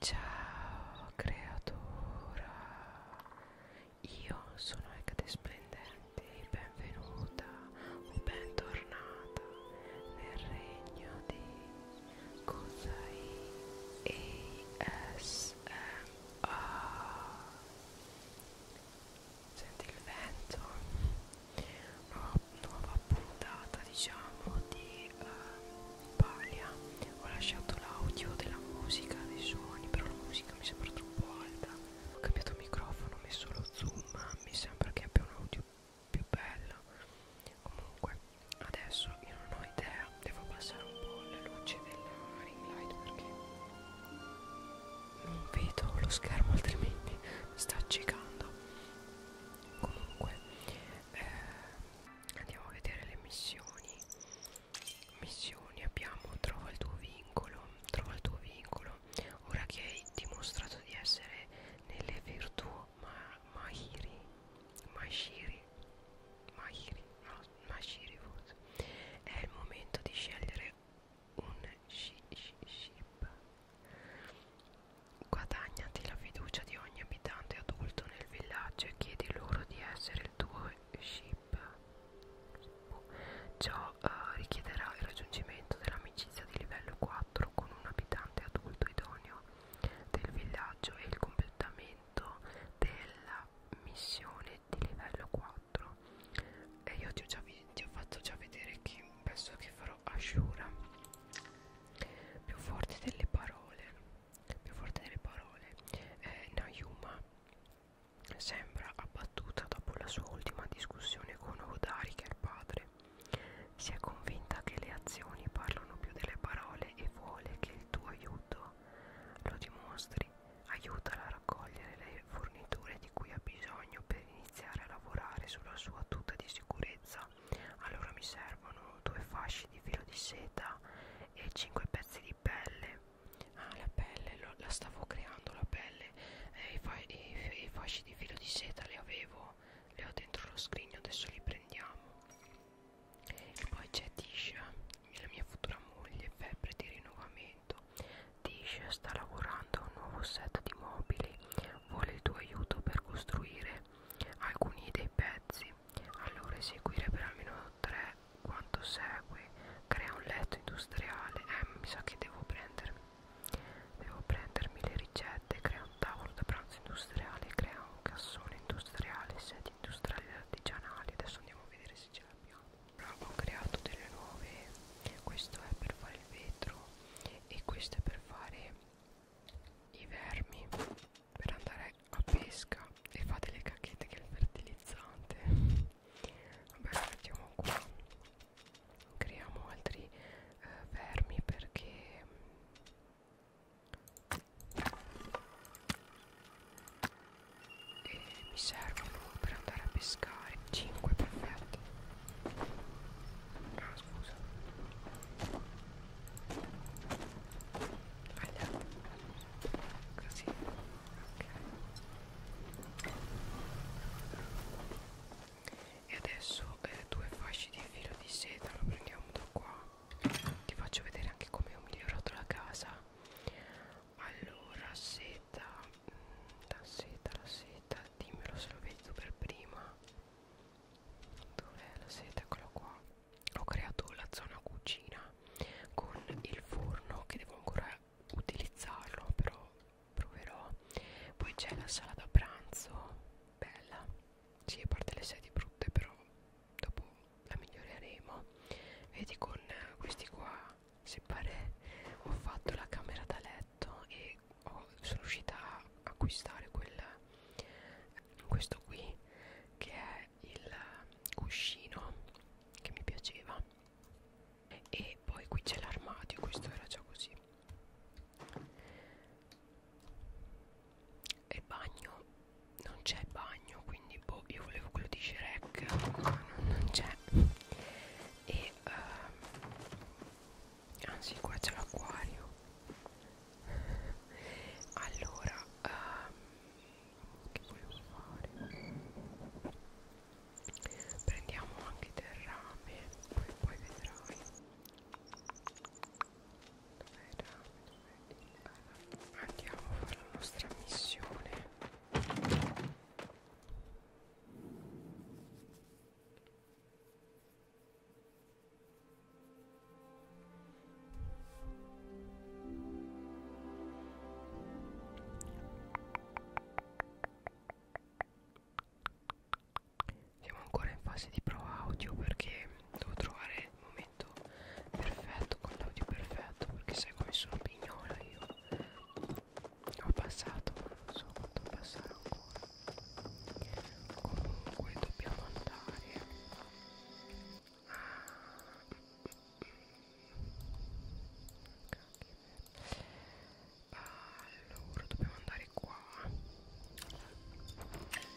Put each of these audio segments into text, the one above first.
Ciao creatura, io sono Ecate Splendente, benvenuta o bentornata nel regno di Kusai ASMR. Senti il vento, nuova, nuova puntata diciamo di di uh, eh, Paglia ho lasciato l'audio della musica, dei suoni, però la musica mi sembra troppo alta. Ho cambiato microfono, ho messo lo zoom, mi sembra che abbia un audio più bello. Comunque, adesso io non ho idea, devo passare un po' la luce della ring light perché non vedo lo schermo altrimenti sta accecando comunque eh, andiamo a vedere le missioni missioni abbiamo trova il tuo vincolo trova il tuo vincolo ora che hai dimostrato di essere nelle virtù ma mahiri mahiri mahiri no mahiri forse è il momento di scegliere un ship Guadagnati la fiducia di ogni abitante adulto nel villaggio e chiedi loro di essere il tuo ship. Ciò uh, richiederà il raggiungimento dell'amicizia di livello 4 con un abitante adulto idoneo del villaggio e il completamento della missione di livello 4. E io ti ho, già ti ho fatto già vedere che penso che farò Ashura più forti delle parole più forte delle parole, eh, Nayuma sembra abbattuta dopo la sua ultima discussione con Hodari che è il padre. Si è convinta che le azioni parlano più delle parole e vuole che il tuo aiuto lo dimostri. Aiutala a raccogliere le forniture di cui ha bisogno per iniziare a lavorare sulla sua tuta di sicurezza allora mi servono due fasci di filo di seta e 5 pezzi di pelle ah la pelle lo, la stavo creando la pelle eh, i, fa i, i fasci di filo di seta li avevo li ho dentro lo scrigno adesso li prendiamo e poi c'è Tisha la mia futura moglie febbre di rinnovamento Tisha sta lavorando a un nuovo set di mobili vuole il tuo aiuto per costruire alcuni dei pezzi pezzi, allora eseguire per almeno 3 quanto segue, crea un letto industriale, eh mi sa che devo prendermi, devo prendermi le ricette, crea un tavolo da pranzo industriale, crea un cassone industriale, sedi industriali e artigianali, adesso andiamo a vedere se ce l'abbiamo. Allora, ho creato delle nuove, questo è per fare il vetro e questo è per fare i vermi per andare a pesca e fa delle cacchette che è il fertilizzante vabbè lo mettiamo qua creiamo altri eh, vermi perché e eh, mi servono per andare a pescare 5 perfetti ah scusa allora. Così. Ok. E adesso eh, due fasci di filo di seta, lo prendiamo da qua. Ti faccio vedere anche come ho migliorato la casa. Allora, seta, la mm, seta, la seta, dimmelo se lo vedi tu per prima dove la seta eccolo qua ho creato la zona cucina con il forno che devo ancora utilizzarlo però proverò poi c'è la sala da pranzo bella si sì, a parte le sedie brutte però dopo la miglioreremo vedi con questi qua se pare ho fatto la camera da letto e ho, oh, sono riuscita a acquistare quel, questo qui che è il cuscino che mi piaceva e poi qui c'è l'armadio questo era già così e bagno non c'è bagno quindi boh io volevo quello di Shrek ma non, non c'è e uh, anzi qua c'è l'acquario allora um, che volevo fare prendiamo anche del rame poi, poi vedrai dov'è il rame dov'è il rame andiamo a fare la nostra missione siamo ancora in fase di prova audio perché devo trovare il momento perfetto con l'audio perfetto perché sai come sono pignola io ho passato, non so quanto passare ancora comunque dobbiamo andare allora dobbiamo andare qua ok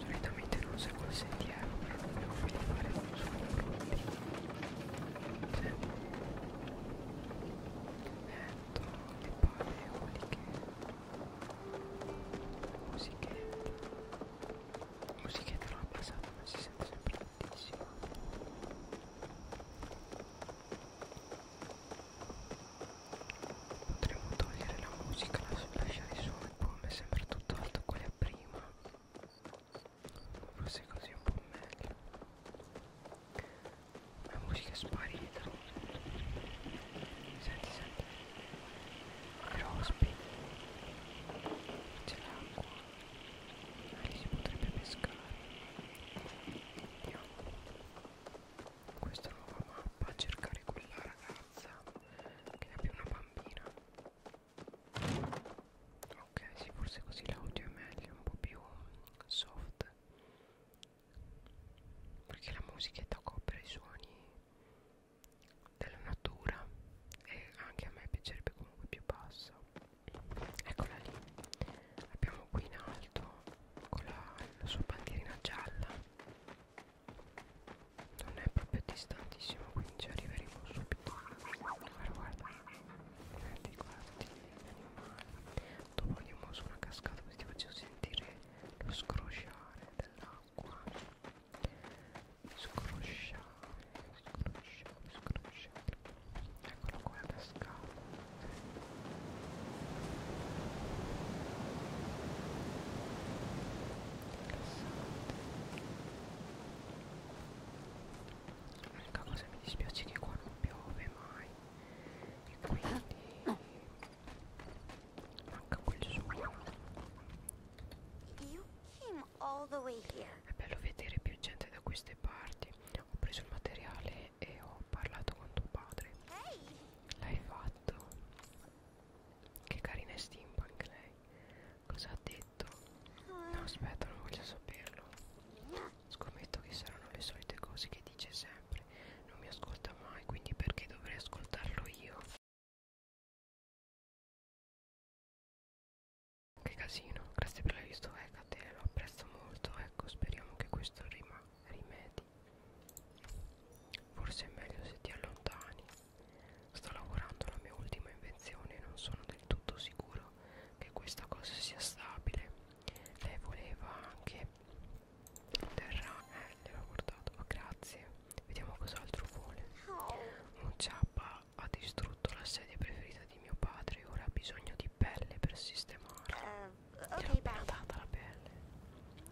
Solitamente non seguo il sentiero, però non devo fare solo brutti. Sì. Metto le paleoliche. Musichetta. Musichetta non abbassata, ma si sente sempre tantissimo. Potremmo togliere la musica, lasciare solo le bombe, sembra tutto alto quella prima. Forse così è un po' meglio. La musica è sparita. Senti, senti. Crosby. C'è l'acqua. Lì si potrebbe pescare. Andiamo questa nuova mappa a cercare quella ragazza che è più una bambina ok sì forse così l'audio è meglio un po' più soft perché la musichetta copre i suoni della natura e anche a me piacerebbe comunque più bassa eccola lì abbiamo qui in alto con la, la sua bandierina gialla non è proprio distantissimo quindi ci arriveremo subito guarda guarda guardi guardi dopo andiamo su una cascata così ti faccio sentire lo scrosciare dell'acqua scrosciare scrosciare scrosciare eccolo qua la cascata L'unica cosa mi dispiace è che qua non piove mai e quindi manca quel suono. È bello vedere più gente da queste parti. Ho preso il materiale e ho parlato con tuo padre. L'hai fatto? Che carina è steampunk lei. Cosa ha detto? No, aspetta, non voglio saperlo. Scommetto che saranno le solite cose che dice sempre. Non mi ascolta mai, quindi perché dovrei ascoltarlo io? Che casino, grazie per l'aiuto, eh, Catelo, lo apprezzo molto, ecco, speriamo che questo rimanga rimedio Certo. Forse è meglio se ti allontani. Sto lavorando alla mia ultima invenzione e non sono del tutto sicuro che questa cosa sia stabile. Lei voleva anche un terra. Eh, gliel'ho portato. Oh, grazie. Vediamo cos'altro vuole. Un ciappa ha distrutto la sedia preferita di mio padre e ora ha bisogno di pelle per sistemarla. Eh, okay, mi ha data la pelle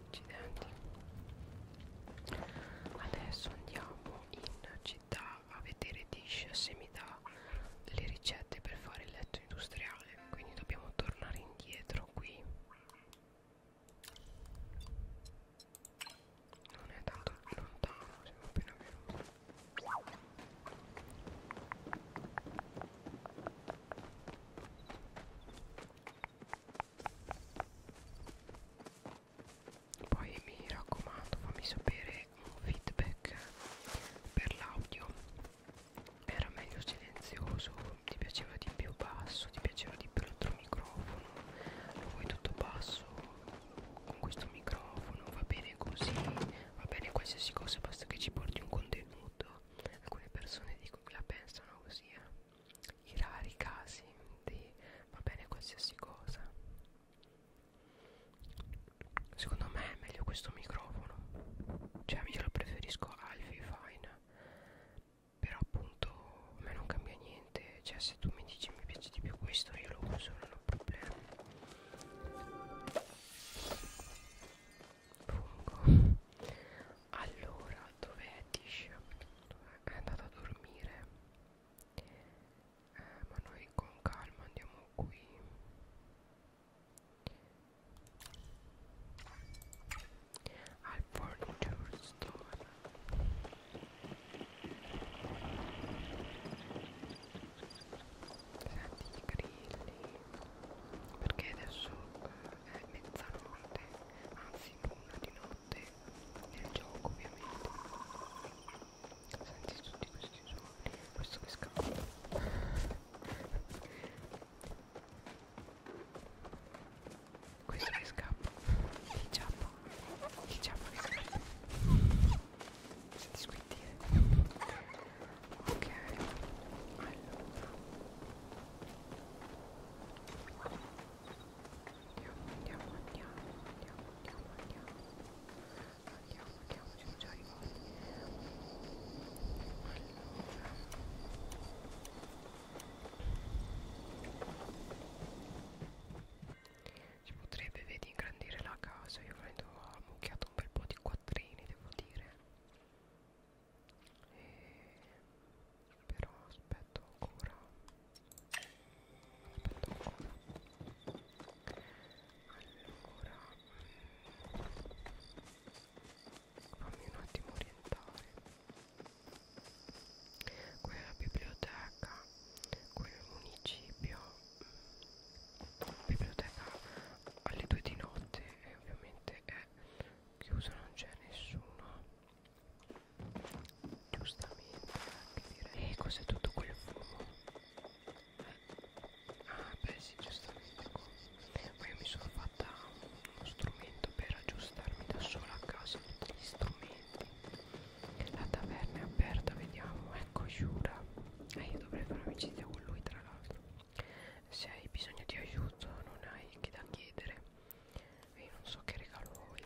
accidenti adesso andiamo in città a vedere Dish se mi dà le ricette per fare il letto industriale quindi dobbiamo tornare indietro qui non è tanto lontano siamo appena venuti poi mi raccomando, fammi sapere un feedback per l'audio. Era meglio silenzioso, ti piaceva di più basso, ti piaceva di più l'altro microfono, lo vuoi tutto basso con questo microfono, va bene così, va bene qualsiasi cosa, basta che ci porti un contenuto. Alcune persone comunque la pensano così, eh. i rari casi di va bene qualsiasi cosa. Secondo me è meglio questo microfono, cioè io lo preferisco al Fine, però appunto a me non cambia niente, cioè se tu mi dici mi piace di più questo io lo uso, non ho problemi fungo allora dov'è Tish? è andata a dormire eh, ma noi con calma andiamo qui al furniture store senti i grilli perché adesso eh, è mezzanotte anzi una di notte nel gioco ovviamente senti tutti questi suoni questo che scappa questo che scappa chi ciappa chi ciappa che scappa senti squittire Ok, allora. Andiamo, andiamo, andiamo, andiamo, andiamo, andiamo, andiamo, siamo già arrivati. Allora. Si potrebbe, vedi, ingrandire la casa, io prendo ammucchiato un bel po' di quattrini, devo dire e... però aspetto ancora aspetto ancora allora mm, fammi un attimo orientare quella biblioteca quel municipio biblioteca alle 2 di notte e ovviamente è chiusa, non c'è nessuno. Giustamente anche direi. E eh, cos'è tutto quel fumo? Eh, ah beh sì, giustamente. Ma io mi sono fatta uno strumento per aggiustarmi da sola a casa tutti gli strumenti. La taverna è aperta, vediamo. Ecco Shura. E eh, io dovrei fare amicizia con lui tra l'altro se hai bisogno di aiuto non hai che da chiedere e non so che regalo vuoi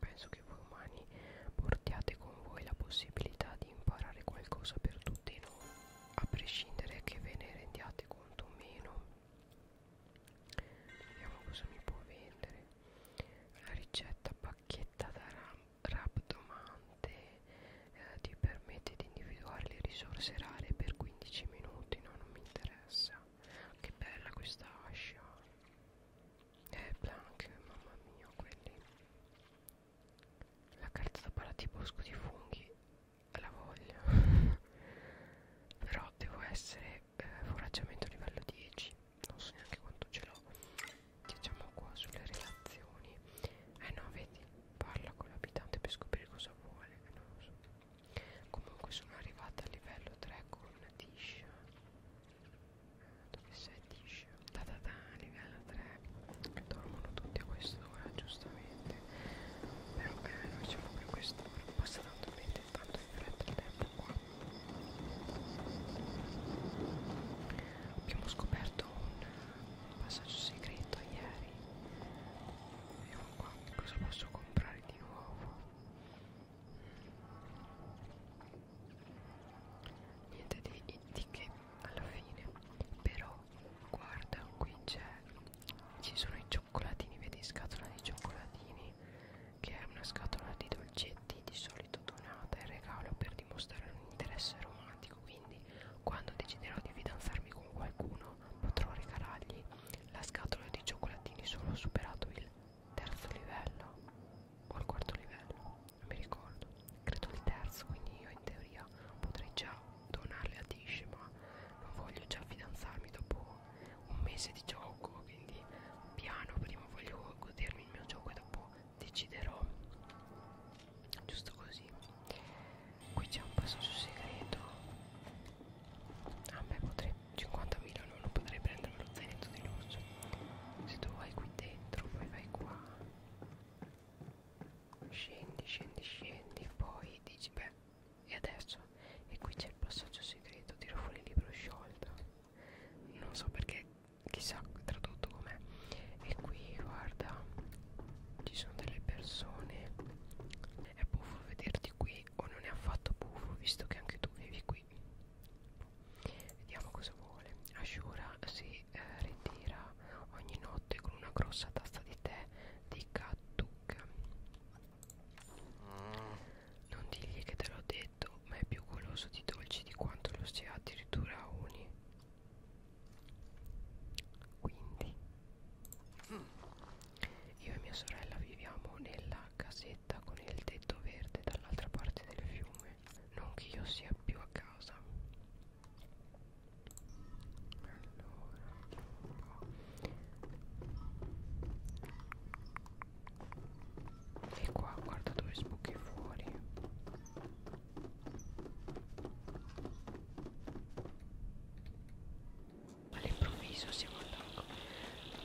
penso che voi umani portiate con voi la possibilità di imparare qualcosa per tutti noi a prescindere che ve ne rendiate conto o meno vediamo cosa mi può vendere la ricetta pacchetta da rab, rab eh, ti permette di individuare le risorse rare per 15 minuti no non mi interessa che bella questa ascia eh blank mamma mia quelli la carta da parati bosco di funghi eh, la voglio però devo essere eh, foraggiamento livello 10 non so neanche quanto ce l'ho diciamo qua sulle relazioni eh no vedi Parla con l'abitante per scoprire cosa vuole, non lo so. Comunque sono arrivata al livello 3 con Tisha. Eh, dove sei Tisha? Da da da, livello 3. Dormono tutti a quest'ora, giustamente. Però eh, noi siamo qui a quest'ora. Passa tanto bene, tanto in fretta il tempo qua. Abbiamo scoperto un eh, passaggio segreto ieri magari vediamo qua cosa posso comprare di nuovo niente di, di che alla fine però guarda qui c'è ci sono i cioccolatini vedi scatola di cioccolatini che è una scatola di dolcetti di solito donata in regalo per dimostrare un interesse romantico, quindi quando deciderò di fidanzarmi con qualcuno potrò regalargli la scatola di cioccolatini solo superato il terzo livello o il quarto livello, non mi ricordo, credo il terzo, quindi io in teoria potrei già donarle a Tish, ma non voglio già fidanzarmi dopo un mese di gioco, quindi piano prima voglio godermi il mio gioco e dopo deciderò giusto così qui c'è un passaggio segreto a me potrei 50.000 no, non potrei prendere lo zainetto di lusso se tu vai qui dentro poi vai qua scendi scendi scendi poi dici beh e adesso e qui c'è il passaggio segreto tiro fuori il libro sciolto non so perché chissà tradotto com'è e qui guarda ci sono delle persone è buffo vederti qui o non è affatto buffo visto che anche tu vivi qui vediamo cosa vuole Ashura si eh, ritira ogni notte con una grossa tazza di tè di Katuk non digli che te l'ho detto ma è più goloso di dolci di quanto lo sia addirittura Uni quindi io e mia sorella viviamo nella casetta con il tetto verde dall'altra parte del fiume. Non che io sia più a casa. Allora, e qua guarda dove sbuchi fuori All'improvviso siamo al lago.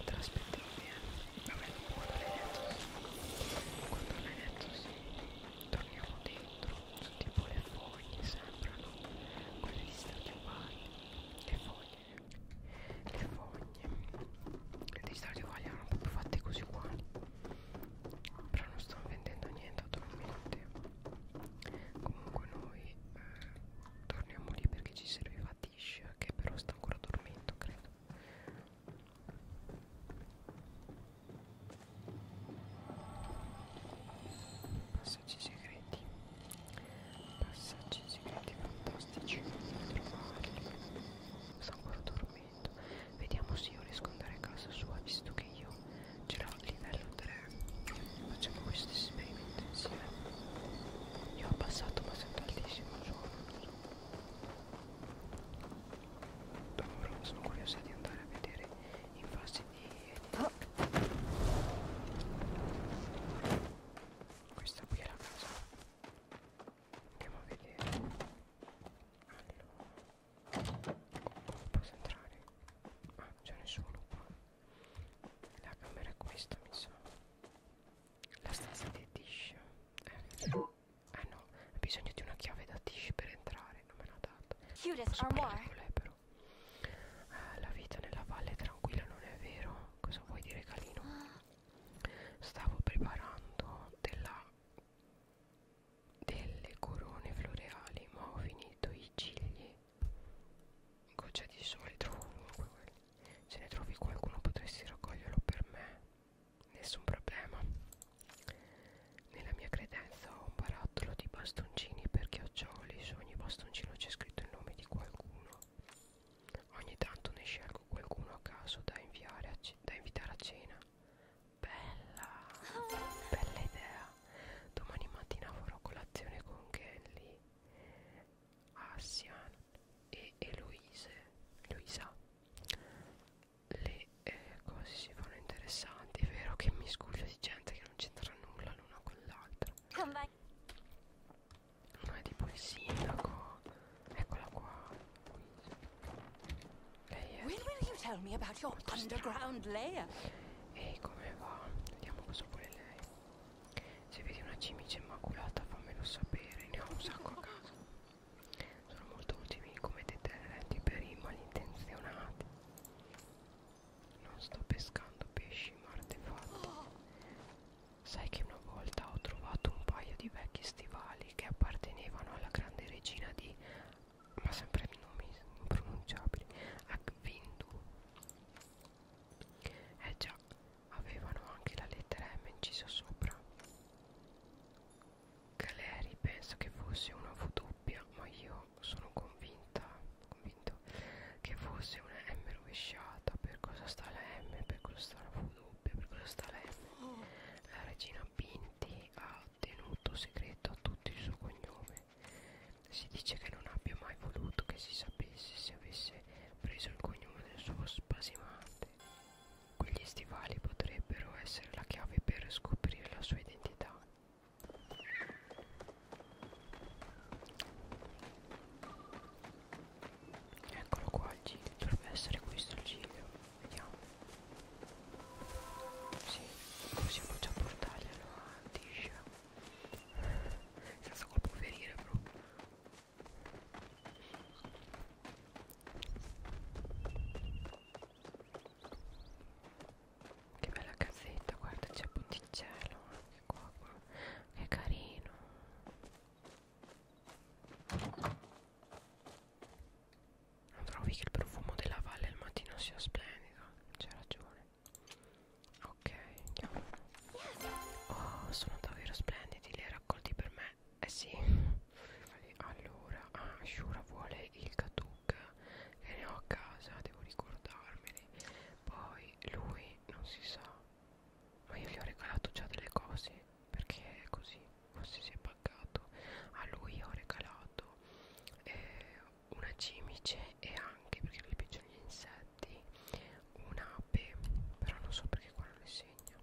Te l'aspettavo bene. Vabbè, quando l'hai detto sì. Quando l'hai detto sì. Torniamo dentro. Sono tipo le foglie, sembrano. Quelle di Stardew Valley. Le foglie. Le foglie. Le di Stardew Valley erano proprio fatte così uguali però non sto vendendo niente attualmente comunque noi eh, torniamo lì perché ci serviva Tish che però sta ancora dormendo credo passaggi segreti passaggi segreti fantastici non trovarli sto ancora dormendo Street. Vediamo se io riesco ad andare a casa sua, visto che io ce l'ho livello 3. Facciamo questo esperimento insieme. Io ho passato, ma sento altissimo il suono. Dopo sono curiosa di andare a vedere in fase di... Ah. Questa qui è la casa. Andiamo a vedere. Allora non posso entrare ah c'è nessuno qua la camera è questa mi sa la stanza di Tish eh. eh no ho bisogno di una chiave da Tish per entrare non me l'ha data posso parlare con lei però eh, la vita nella valle tranquilla non è vero cosa vuoi dire Calino ah. stavo preparando della delle corone floreali ma ho finito i cigli goccia di sole trovo ovunque quelli se ne trovi qualcuno potresti raccoglierlo per me nessun problema nella mia credenza ho un barattolo di bastoncini per chioccioli su ogni bastoncino c'è scritto il nome di qualcuno ogni tanto ne scelgo qualcuno a caso da, inviare a da invitare a cena Bella, bella idea. Domani mattina farò colazione con Kelly, Asian e Eloise. Luisa. Le eh, cose si fanno interessanti, vero che mi scuso di gente che non c'entra nulla l'una con l'altra. Non è tipo il sindaco. Eccola qua. Lei è Ehi, come va? Vediamo cosa vuole lei. Se vedi una cimice immacolata fammelo sapere, ne ho un sacco a casa. Sono molto utili come deterrenti per i malintenzionati. Non sto pescando pesci ma artefatti. Sai che una volta ho trovato un paio di vecchi stivali che appartenevano alla grande regina di ma sempre di nomi impronunciabili Akvindu eh già avevano anche la lettera M incisa sopra Caleri pensa che fosse una V doppia ma io sono convinta convinto che fosse una M rovesciata per cosa sta la M per cosa sta la V doppia per cosa sta la M la regina Pinti ha tenuto segreto a tutti il suo cognome. Si dice che non abbia mai voluto che si sapesse se avesse preso il cognome del suo spasimante. Quegli stivali potrebbero essere la chiave per scoprire la sua identità. Eccolo qua il giglio, dovrebbe essere questo il giglio vediamo sì possiamo già portarglielo a Tisha senza colpo ferire bro che bella casetta guarda c'è ponticello anche qua, qua che carino non trovi che il profumo della valle al mattino sia splendido? C'è ragione. Ok, andiamo. Oh, sono davvero splendidi, li hai raccolti per me? Eh sì. Allora, ah, Shura vuole il Katuk che ne ho a casa, devo ricordarmeli. Poi lui non si sa. Ma io gli ho regalato già delle cose perché così forse si è pagato a lui ho regalato eh, una cimice e anche perché gli piacciono gli insetti un'ape però non so perché qua non le segno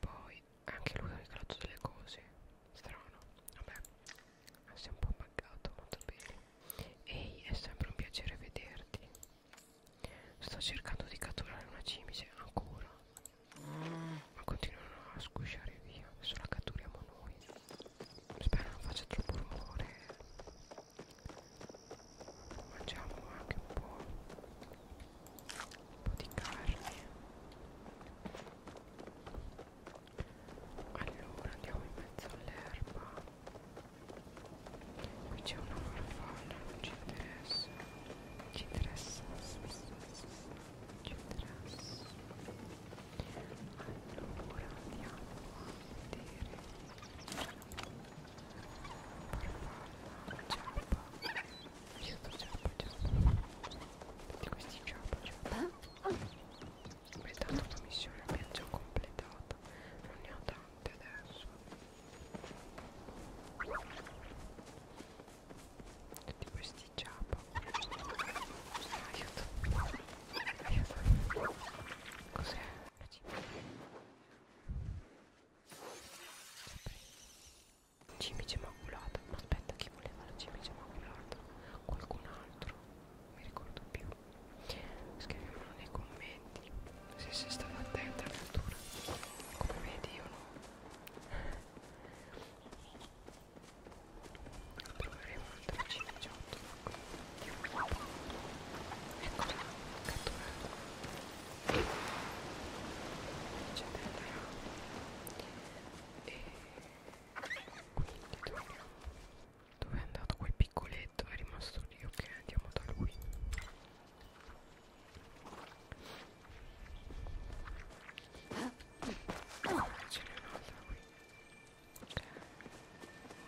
poi anche lui ha regalato delle cose strano vabbè si è un po' pagato molto bene ehi è sempre un piacere vederti sto cercando di catturare una cimice ancora mm, ma continuano a sgusciare via adesso la catturiamo noi spero non faccia troppo rumore mangiamo anche un po' un po' di carne allora andiamo in mezzo all'erba qui c'è una farfalla non ci interessa ci interessa trasso allora andiamo a vedere Giappa aiuto Giappa Giappa tutti questi Giappa Giappa questa è una missione abbiamo già completato non ne ho tante adesso tutti questi ciapa aiuto aiuto cos'è? una cimice cimice maculata ma aspetta chi voleva la cimice maculata? qualcun altro non mi ricordo più scriviamolo nei commenti se sei stata attenta a lettura come vedi io no Proveremo un altro ciligiotto. Eccola, catturata. Eccetera. E quindi dove, dove è andato quel piccoletto? È rimasto lì, ok, andiamo da lui. Ce n'è un'altra qui.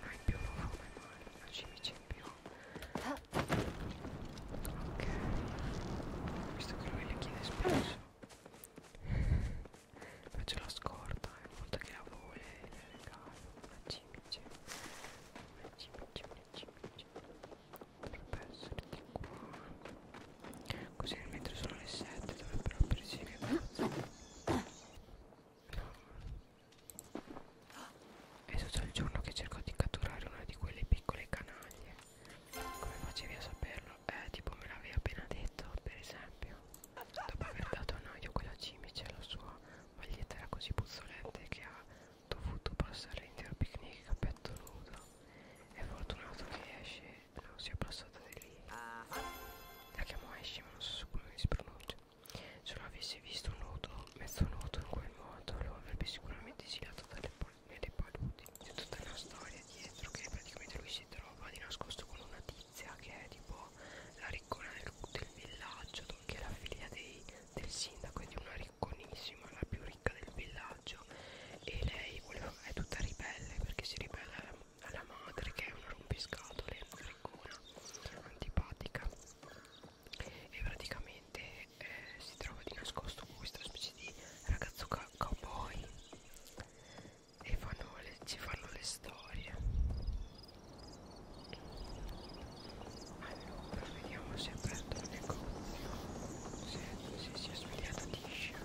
Non hai più come male, la cimice in più. Ok. Visto che lui le chiede spesso. Faccio la scorta, è una volta che la vuole le regalo. Una cimice. Una cimice, una cimice dovrebbe essere di qua così mentre sono le 7 dovrebbero aprirsi che cosa è tutto il giorno che cerco di catturare una di quelle piccole canaglie come facevi a saperlo? eh tipo me l'avevi appena detto per esempio dopo aver dato a noi quella cimice la sua maglietta era così puzzolente che ha dovuto passare l'intero picnic a petto nudo. È fortunato che esce non sia passata di lì. La chiamo esce, ma non so come si pronuncia. Se lo avessi visto nudo, mezzo nudo in quel modo, lo avrebbe sicuramente silato dalle nelle paludi. C'è tutta una storia dietro che praticamente lui si trova di nascosto con una tizia che è tipo la riccona del, del villaggio, che è la figlia dei, del sindaco e di una riccona bocconissima, la più ricca del villaggio e lei voleva, è tutta ribelle perché si ribella alla, alla madre che è una rompiscatole, una riccona, antipatica e praticamente eh, si trova di nascosto con questa specie di ragazzo ca cowboy e fanno le, ci fanno le storie allora vediamo se prendo il negozio se, se si è svegliata Tisha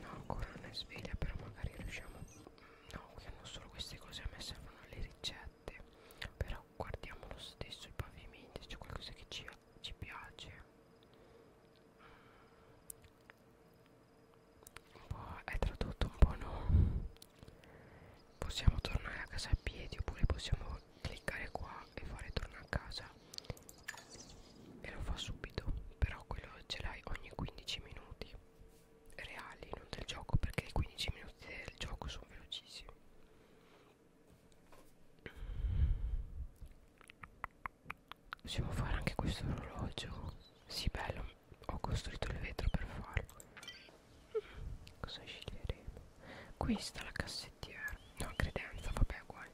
no ancora non è sveglia però magari riusciamo no qui hanno solo queste cose a me servono le ricette però guardiamo lo stesso i pavimenti c'è qualcosa che ci, ci piace mm. un po' è tradotto un po' no possiamo tornare a casa a piedi oppure possiamo cliccare qua e fare torna a casa e lo fa subito però quello ce l'hai ogni 15 minuti reali non del gioco perché i 15 minuti del gioco sono velocissimi possiamo fare anche questo orologio sì bello ho costruito il vetro per farlo Cosa sceglieremo? Questa la cassettiera. No, credenza, vabbè, guai.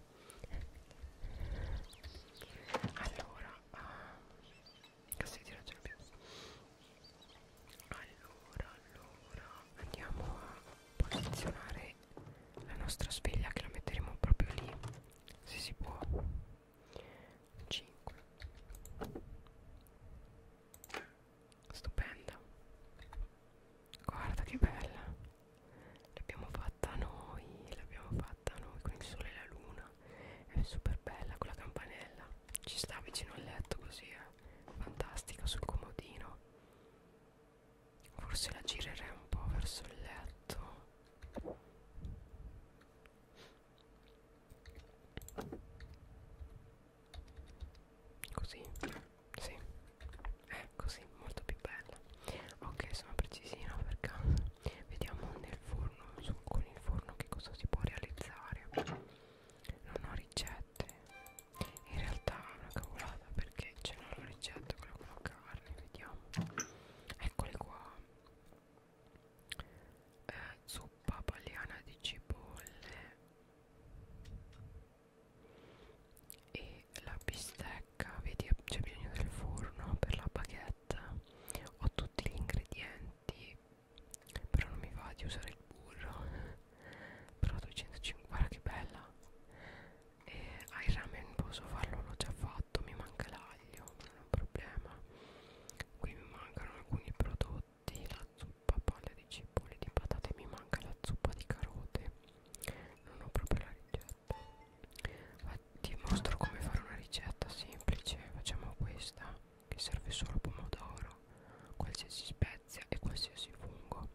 Allora, uh, cassettiera ce l'abbiamo. Allora, allora, andiamo a posizionare la nostra sveglia che la metteremo proprio lì, se si può. 5 stupenda guarda che bella l'abbiamo fatta noi l'abbiamo fatta noi con il sole e la luna è super bella con la campanella ci sta vicino al letto così eh? fantastica sul comodino forse la girerei un po' verso il letto Così Sì Eh così molto più bella Ok sono precisina per caso Vediamo nel forno su, Con il forno che cosa si può realizzare Non ho ricette In realtà è una cavolata Perché c'è una ricetta Quella con la carne Vediamo Eccole qua eh, Zuppa paliana di cipolle e la bistecca vedi c'è bisogno del forno per la baguette ho tutti gli ingredienti però non mi va di usare il burro però 250 che bella e ai ramen posso farlo l'ho già fatto mi manca l'aglio non è un problema qui mi mancano alcuni prodotti di la zuppa paglia di cipolle di patate mi manca la zuppa di carote non ho proprio la ricetta Ma ti mostro come fare una ricetta semplice facciamo questa che serve solo pomodoro qualsiasi spezia e qualsiasi fungo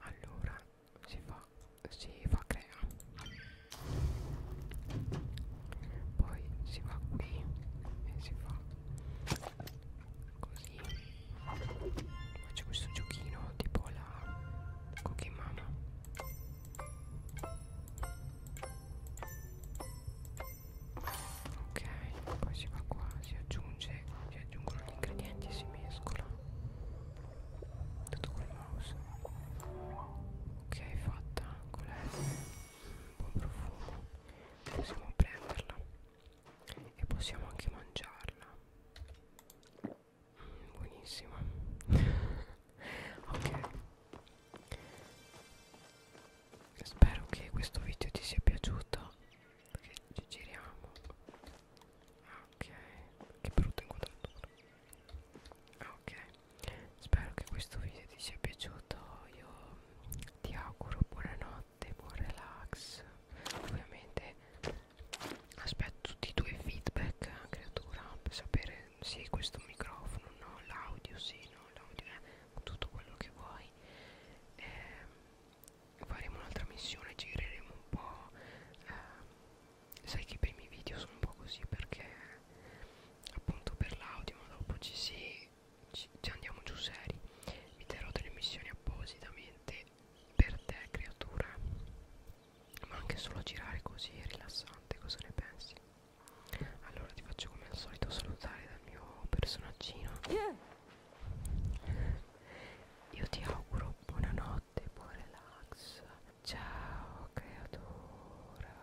allora si fa si fa crea poi si va qui e si fa così ma c'è questo giochino tipo la cookie mama ok poi si va qua si aggiunge si aggiungono gli ingredienti e si mescola tutto col mouse ok fatta con la buon profumo possiamo prenderla e possiamo anche mangiarla mm, buonissima ok spero che questo video ti sia piaciuto perché ci giriamo ok che brutta inquadratura ah, ok spero che questo video ti sia piaciuto io ti auguro buonanotte, buon relax. Ovviamente aspetto tutti i tuoi feedback, creatura, per sapere se sì, questo microfono, no, l'audio, sì, no, l'audio è tutto quello che vuoi. Eh, faremo un'altra missione, gireremo un po'. Eh, sai che i primi video sono un po' così perché appunto per l'audio, ma dopo ci si ci, ci andiamo giù seri vi darò delle missioni appositamente per te creatura ma anche solo girare così è rilassante cosa ne pensi? allora ti faccio come al solito salutare dal mio personaggino io ti auguro buonanotte buon relax ciao creatura